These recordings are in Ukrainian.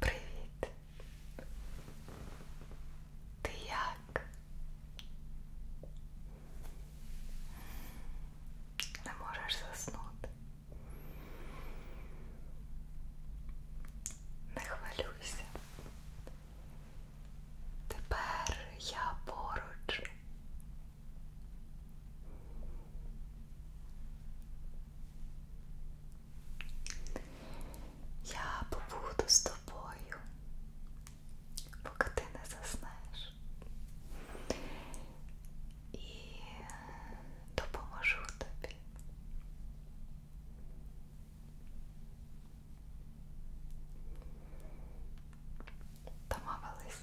Привіт! Ти як? Не можеш заснути. Не хвилюйся. Тепер я поруч я побуду з тобою, поки ти не заснеш, і допоможу тобі. Домовились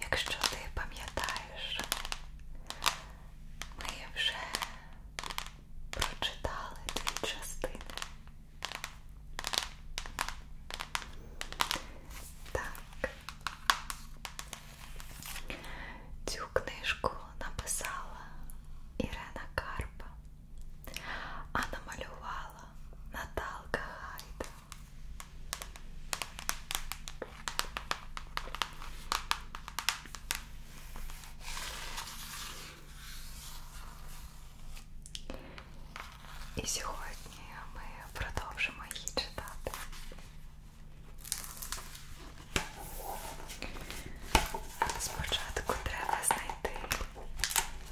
Якщо ти пам'ятаєш, ми вже прочитали дві частини. Так. Цю книжку написала Ірена Карпа а намалювала Наталка Гайда. І сьогодні ми продовжимо її читати. Спочатку треба знайти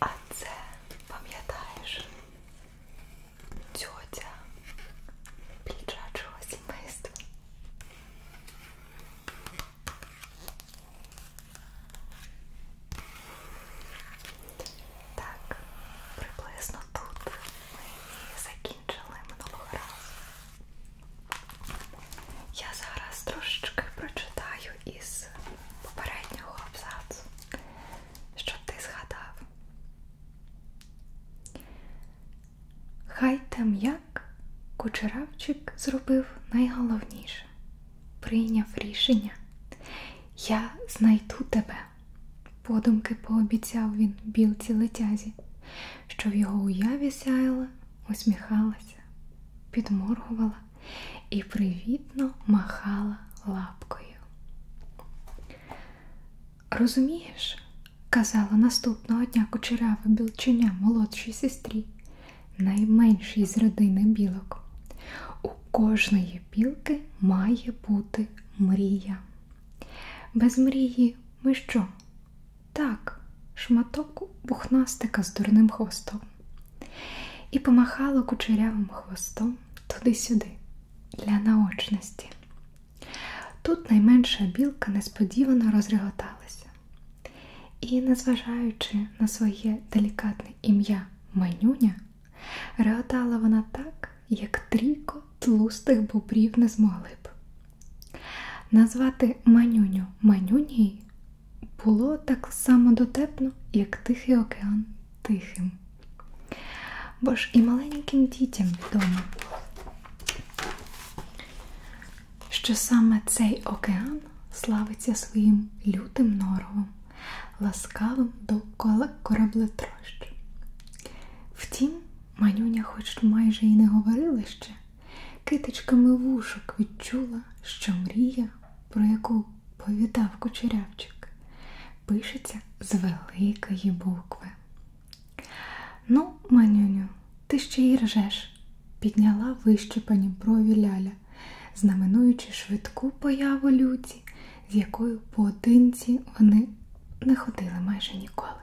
А це пам'ятаєш тьотя піджачого сімейства. Так, приблизно тут ми закінчили минулого разу. Я зараз трошечки прочитаю із попереднього абзацу, що ти згадав. Хай тем'як кучеравчик зробив найголовніше прийняв рішення. Я знайду тебе. Подумки пообіцяв він білці летязі, що в його уяві сяяла, усміхалася, підморгувала і привітно махала лапкою. Розумієш, казала наступного дня кучерява білченя молодшій сестрі, найменшій з родини білок. У кожної білки має бути мрія. Без мрії ми що? Так, шматок бухнастика з дурним хвостом. І помахала кучерявим хвостом туди-сюди, для наочності. Тут найменша білка несподівано розреготалася. І, незважаючи на своє делікатне ім'я Манюня, реготала вона так, як трійко тлустих бобрів не змогли б. Назвати манюню манюній було так само дотепно, як Тихий океан тихим. Бо ж і маленьким дітям відомо, що саме цей океан славиться своїм лютим норовом, ласкавим до кораблетрощ. Втім, Манюня, хоч майже і не говорила ще, китичками вушок відчула, що мрія, про яку повідав кучерявчик, пишеться з великої букви. Ну, манюню, ти ще й ржеш, підняла вищипані брові ляля, знаменуючи швидку появу люті, з якою поодинці вони не ходили майже ніколи.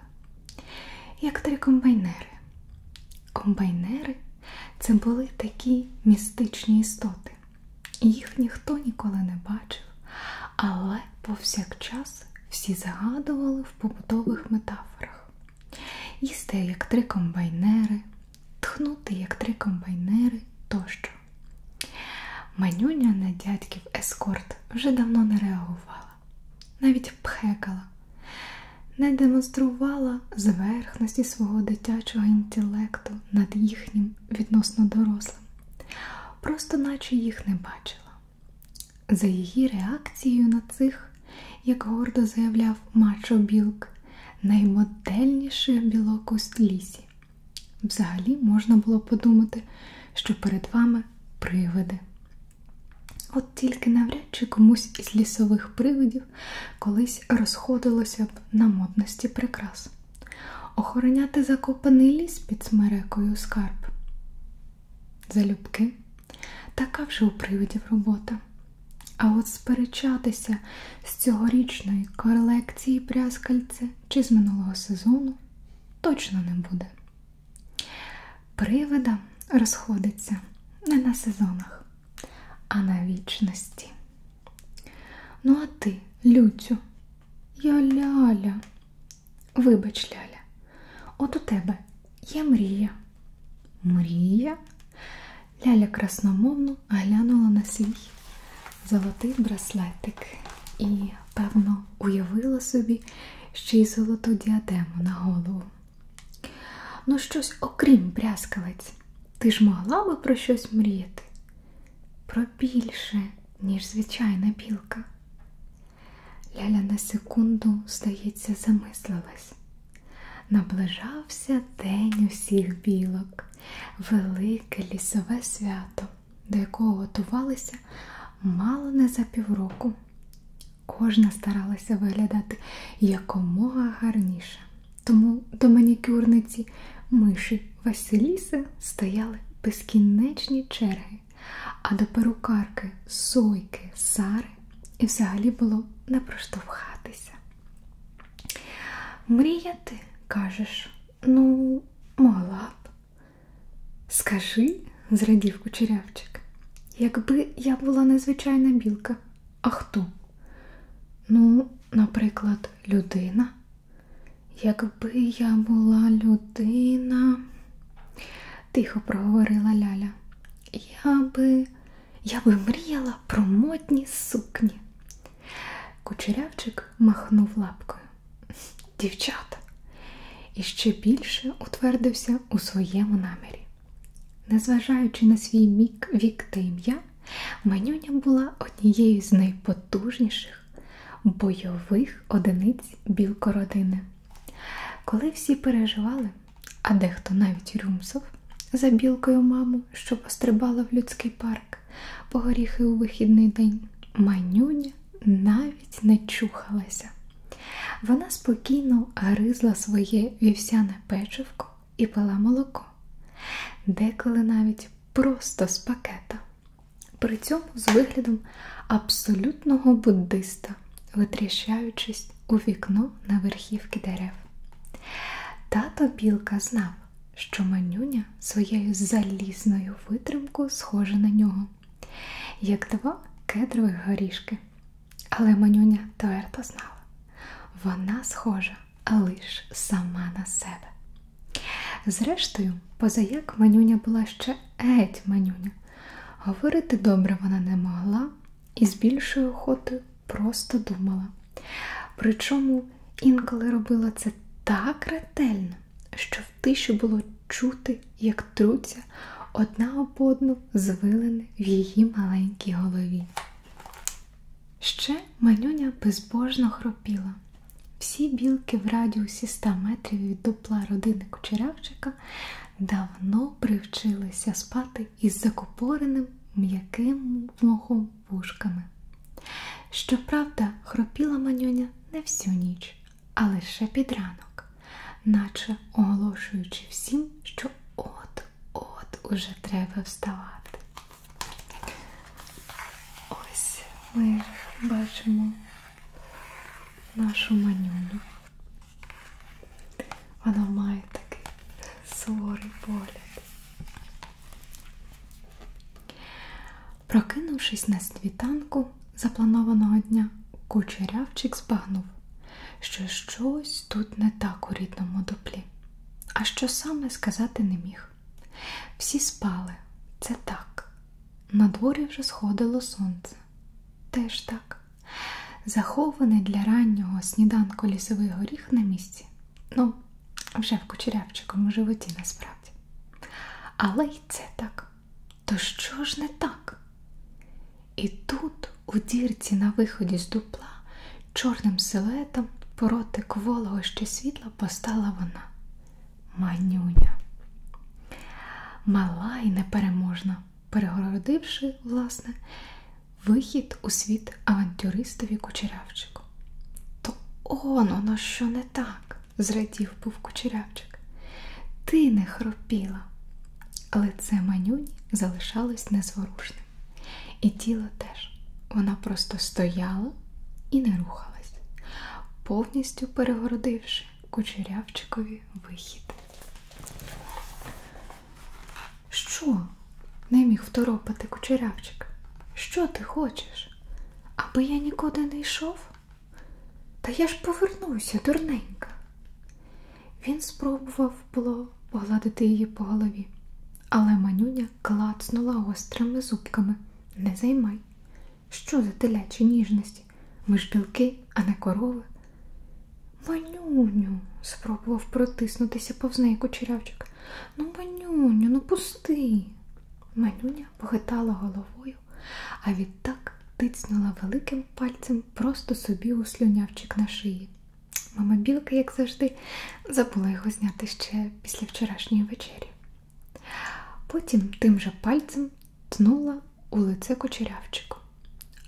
Як три комбайнери. Комбайнери це були такі містичні істоти. Їх ніхто ніколи не бачив, але повсякчас всі загадували в побутових метафорах. Їсти як три комбайнери, тхнути як три комбайнери тощо. Манюня на дядьків ескорт вже давно не реагувала навіть пхекала, не демонструвала зверхності свого дитячого інтелекту над їхнім відносно дорослим, просто наче їх не бачила. За її реакцією на цих, як гордо заявляв Мачо Білк, наймодельніших білок у лісі. Взагалі можна було подумати, що перед вами саме привиди. От тільки навряд чи комусь із лісових привидів колись розходилося б на модності прикрас. Охороняти закопаний ліс під смерекою скарб. Залюбки така вже у привидів робота. А от сперечатися з цьогорічної колекції пряскальця чи з минулого сезону точно не буде. Привида розходиться не на сезонах, а на вічності. Ну, а ти, Люцю, я ляля, вибач, Ляля, от у тебе є мрія. Мрія? Ляля красномовно глянула на свій золотий браслетик і певно, уявила собі ще й золоту діадему на голову. Ну, щось окрім брязкалець, ти ж могла би про щось мріяти? Про більше, ніж звичайна білка. Ляля на секунду, здається, замислилась. Наближався день усіх білок, велике лісове свято до якого готувалися мало не за півроку. Кожна старалася виглядати якомога гарніше. Тому до манікюрниці миші Василіси стояли безкінечні черги, а до перукарки Сойки Сари і взагалі було не проштовхатися. Мріяти, кажеш, ну, могла б, Скажи, зрадів кучерявчик, якби я була незвичайна білка, а хто? Ну, наприклад, людина. Якби я була людина, тихо проговорила Ляля, я би я би мріяла про модні сукні. Кучерявчик махнув лапкою дівчата, і ще більше утвердився у своєму намірі. Незважаючи на свій мік, вік та ім'я, Манюня була однією з найпотужніших бойових одиниць білкородини. Коли всі переживали, а дехто навіть рюмсов за білкою маму, що пострибала в людський парк по горіхи у вихідний день, манюня навіть не чухалася. Вона спокійно гризла своє вівсяне печивко і пила молоко, деколи навіть просто з пакета, при цьому з виглядом абсолютного буддиста, витріщаючись у вікно на верхівки дерев. Тато Білка знав, що манюня своєю залізною витримкою схожа на нього як два кедрових горішки. Але Манюня твердо знала, вона схожа лиш сама на себе. Зрештою, позаяк Манюня була ще геть Манюня. Говорити добре вона не могла і з більшою охотою просто думала. Причому інколи робила це так ретельно, що в тиші було чути, як труться одна об одну звилини в її маленькій голові. Ще манюня безбожно хропіла. Всі білки в радіусі 100 метрів від допла родини кучерявчика давно привчилися спати із закупореним м'яким мохом вушками. Щоправда, хропіла манюня не всю ніч, а лише під ранок, наче оголошуючи всім, що от-от уже треба вставати. Ось ми бачимо нашу манюну. Вона має такий суворий погляд. Прокинувшись на світанку запланованого дня, кучерявчик збагнув, що щось тут не так у рідному дуплі, а що саме сказати не міг. Всі спали, це так. На дворі вже сходило сонце. Теж так. Захований для раннього сніданку лісовий горіх на місці. Ну, вже в кучерявчикому животі насправді. Але й це так. То що ж не так? І тут, у дірці на виході з дупла, чорним силетом проти кволого ще світла постала вона манюня. Мала і непереможна, перегородивши, власне, вихід у світ авантюристові кучерявчику. То он, воно що не так зрадів був кучерявчик. Ти не хропіла. Але це манюні залишалось незворушним. І тіло теж. Вона просто стояла і не рухалась, повністю перегородивши кучерявчикові вихід. Що? не міг второпати кучерявчик? Що ти хочеш? Аби я нікуди не йшов? Та я ж повернуся, дурненька. Він спробував було погладити її по голові, але манюня клацнула гострими зубками. Не займай. Що за телячі ніжності? Ми ж білки, а не корови. Манюню, спробував протиснутися повз неї кучерявчик. Ну, манюню, ну пусти. Манюня похитала головою головою, а відтак тицнула великим пальцем просто собі у слюнявчик на шиї. Мама білка, як завжди, забула його зняти ще після вчорашньої вечері. Потім тим же пальцем тнула у лице кочерявчику,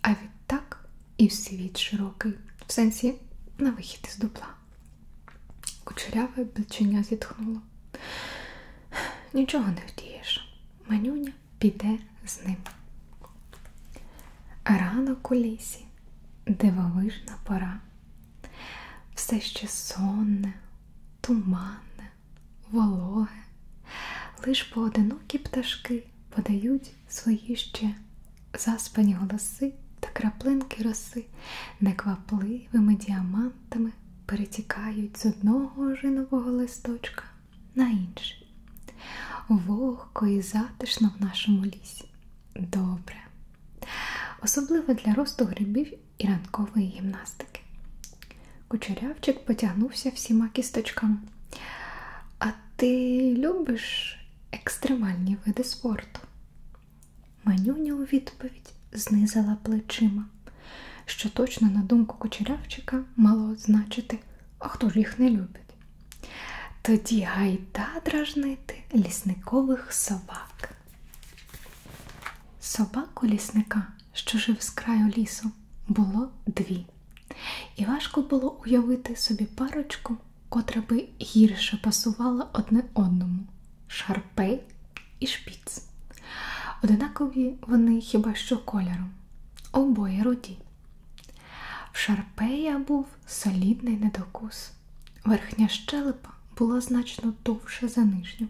а відтак і в світ широкий, в сенсі на вихід із дупла. Кучеряве бличення зітхнуло. Нічого не вдієш манюня піде з ним. Ранок у лісі, дивовижна пора, все ще сонне, туманне, вологе, лиш поодинокі пташки подають свої ще заспані голоси та краплинки роси неквапливими діамантами листочками перетікають з одного жинового листочка на інший. Вогко і затишно в нашому лісі. Добре. Особливо для росту грибів і ранкової гімнастики. Кучерявчик потягнувся всіма кісточками. А ти любиш екстремальні види спорту? Манюня у відповідь знизила плечима очима, що точно, на думку кучерявчика, мало значити, а хто ж їх не любить. Тоді гайда дражнити лісникових собак. Собаку лісника, що жив з краю лісу, було дві. І важко було уявити собі парочку, котра би гірше пасувала одне одному шарпей і шпіц. Одинакові вони хіба що кольором, обоє руді. В Шарпея був солідний недокус. Верхня щелепа була значно довше за нижню,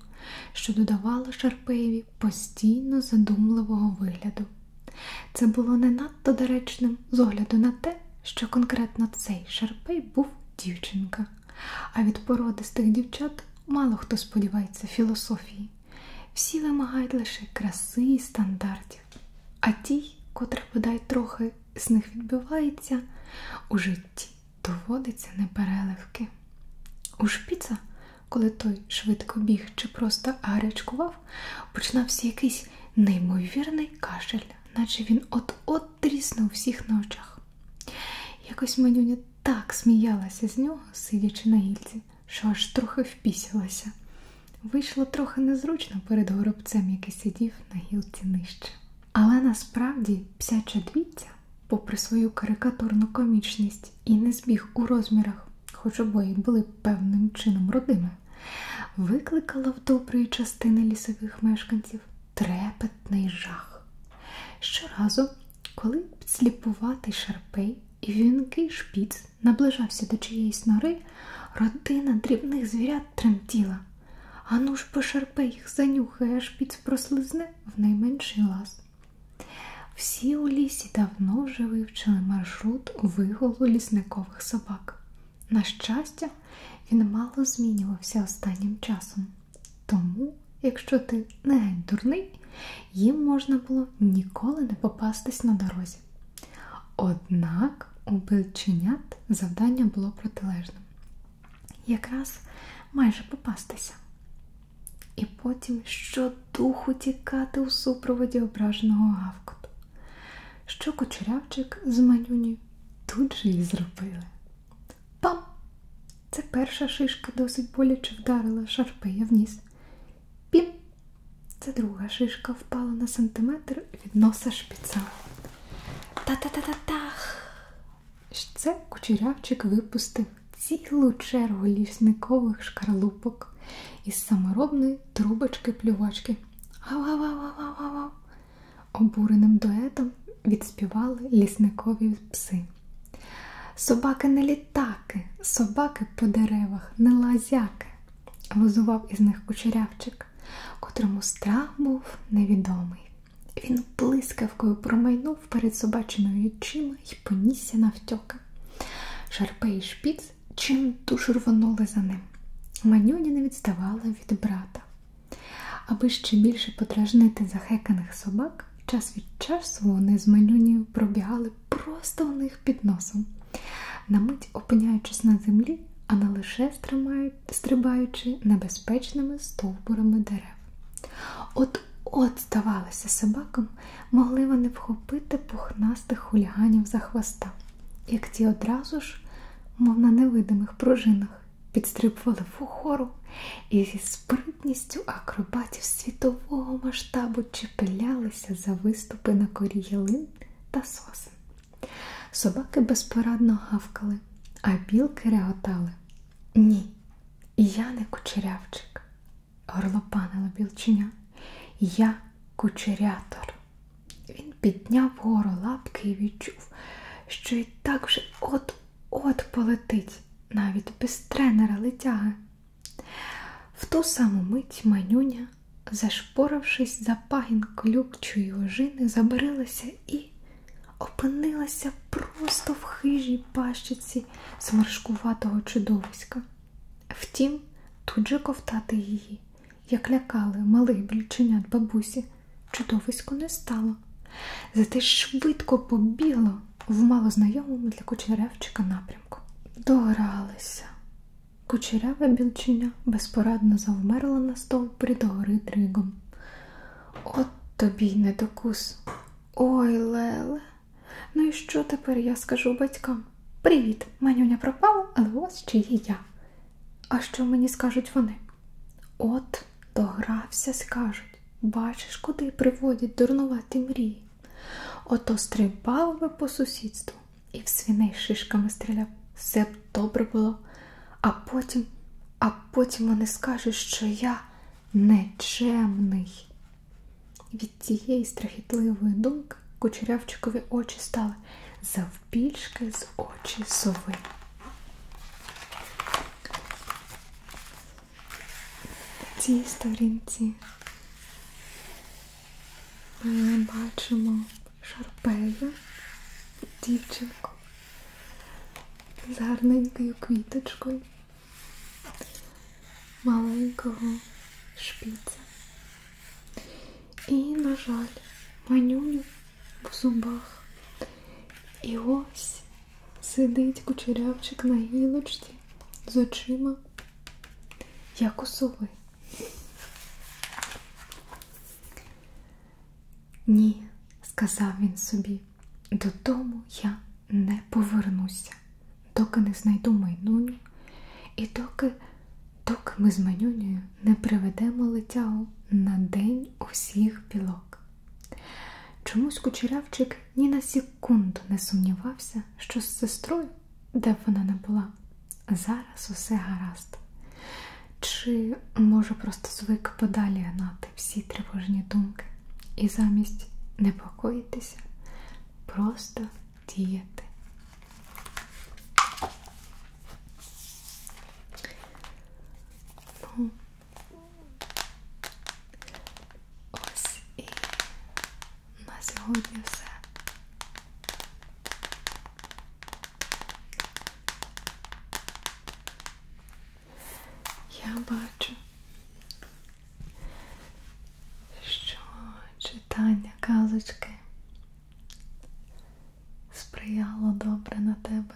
що додавало Шарпеєві постійно задумливого вигляду. Це було не надто доречним з огляду на те, що конкретно цей Шарпей був дівчинка, а від породистих дівчат Мало хто сподівається філософії. Всі вимагають лише краси і стандартів, а ті, котра бодай трохи з них відбивається, у житті доводиться непереливки. У шпіца, коли той швидко біг чи просто гарячкував, починався якийсь неймовірний кашель, наче він от-от тріснув всіх на очах. Якось Манюня так сміялася з нього, сидячи на гільці, що аж трохи впісялася. Вийшло трохи незручно перед горобцем, який сидів на гілці нижче. Але насправді псяча двіця, попри свою карикатурну комічність і не збіг у розмірах, хоч обоє були певним чином родими, викликала в доброї частини лісових мешканців трепетний жах. Щоразу, коли сліпуватий шарпей і вінкий шпіц наближався до чиєїсь нори, родина дрібних звірят тремтіла. Ану ж бо шарпей їх занюхає, а шпіц прослизне в найменший лаз. Всі у лісі давно вже вивчили маршрут виголу лісникових собак. На щастя, він мало змінювався останнім часом. Тому, якщо ти не геть дурний, їм можна було ніколи не попастись на дорозі. Однак у бельченят завдання було протилежним якраз майже попастися. І потім щодуху тікати у супроводі ображеного гавкоту, що кучерявчик з манюні тут же і зробили. Пам! Це перша шишка досить боляче вдарила шарпея в ніс. Пім! Це друга шишка впала на сантиметр від носа шпіца. Та-та-та-та-тах! Це кучерявчик випустив цілу чергу лісникових шкарлупок із саморобної трубочки-плювачки. Гав-гав-гав-гав-гав-гав! Обуреним дуетом відспівали лісникові пси. Собаки не літаки, собаки по деревах, не лазяки, возував із них кучерявчик, котрому страх був невідомий. Він блискавкою промайнув перед собачиною очима і понісся навтьоки. Шарпе і шпіц чим душу рвонули за ним. Манюня не відставала від брата. Аби ще більше подражнити захеканих собак, час від часу вони з Менюнію пробігали просто у них під носом, на мить опиняючись на землі, а не лише стрибаючи небезпечними стовбурами дерев. От от, здавалося, собакам могли вони вхопити пухнастих хуліганів за хвоста, як ті одразу ж, мов на невидимих пружинах, підстрибували вгору і зі спритним спритністю акробатів світового масштабу чепелялися за виступи на корі ялин та сосен. Собаки безпорадно гавкали, а білки реготали. Ні, я не кучерявчик, горлопанила білчиня. Я кучерятор. Він підняв гору лапки і відчув, що і так вже от От полетить навіть без тренера летяги. В ту саму мить манюня, зашпорившись за пагін клюкчої ожини, забарилася і опинилася просто в хижій пащиці сморшкуватого чудовиська. Втім, тут же ковтати її, як лякали малих брільченят бабусі, чудовисько не стало. Зате швидко побігло в малознайомому для кучерявчика напрямку. Догралися. Кучеряве білчиня безпорадно завмерла на стовпрі догори дригом. От тобі й недокус. Ой, Леле. Ну і що тепер я скажу батькам? Привіт, манюня пропала, але ось чи є я. А що мені скажуть вони? От, догрався, скажуть. Бачиш, куди приводять дурнуваті мрії. Ото стрибав би по сусідству і в свиней шишками стріляв. Все б добре було, а потім, а потім вони скажуть, що я нечемний. Від цієї страхітливої думки кучерявчикові очі стали завбільшки з очі сови цій сторінці ми бачимо шарпею дівчинку з гарненькою квіточкою маленького шпіця. І, на жаль, манюню в зубах. І ось Сидить кучерявчик на гілочці з очима, як у сови. Ні, сказав він собі, додому я не повернуся, доки не знайду майнуню і доки, доки ми з майнунею не приведемо летягу на день усіх білок. Чомусь кучерявчик ні на секунду секунду не сумнівався, що з сестрою, де б вона не була, зараз усе гаразд. Чи, може, просто звик подалі гнати всі тривожні думки і замість непокоїтися, просто діяти. Ну, Ось і на сьогодні все. Я бачу, що читання казочки сприяло добре на тебе.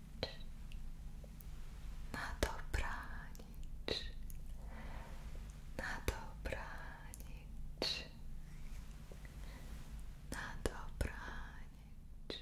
na dobranic, na dobranic, na dobranic.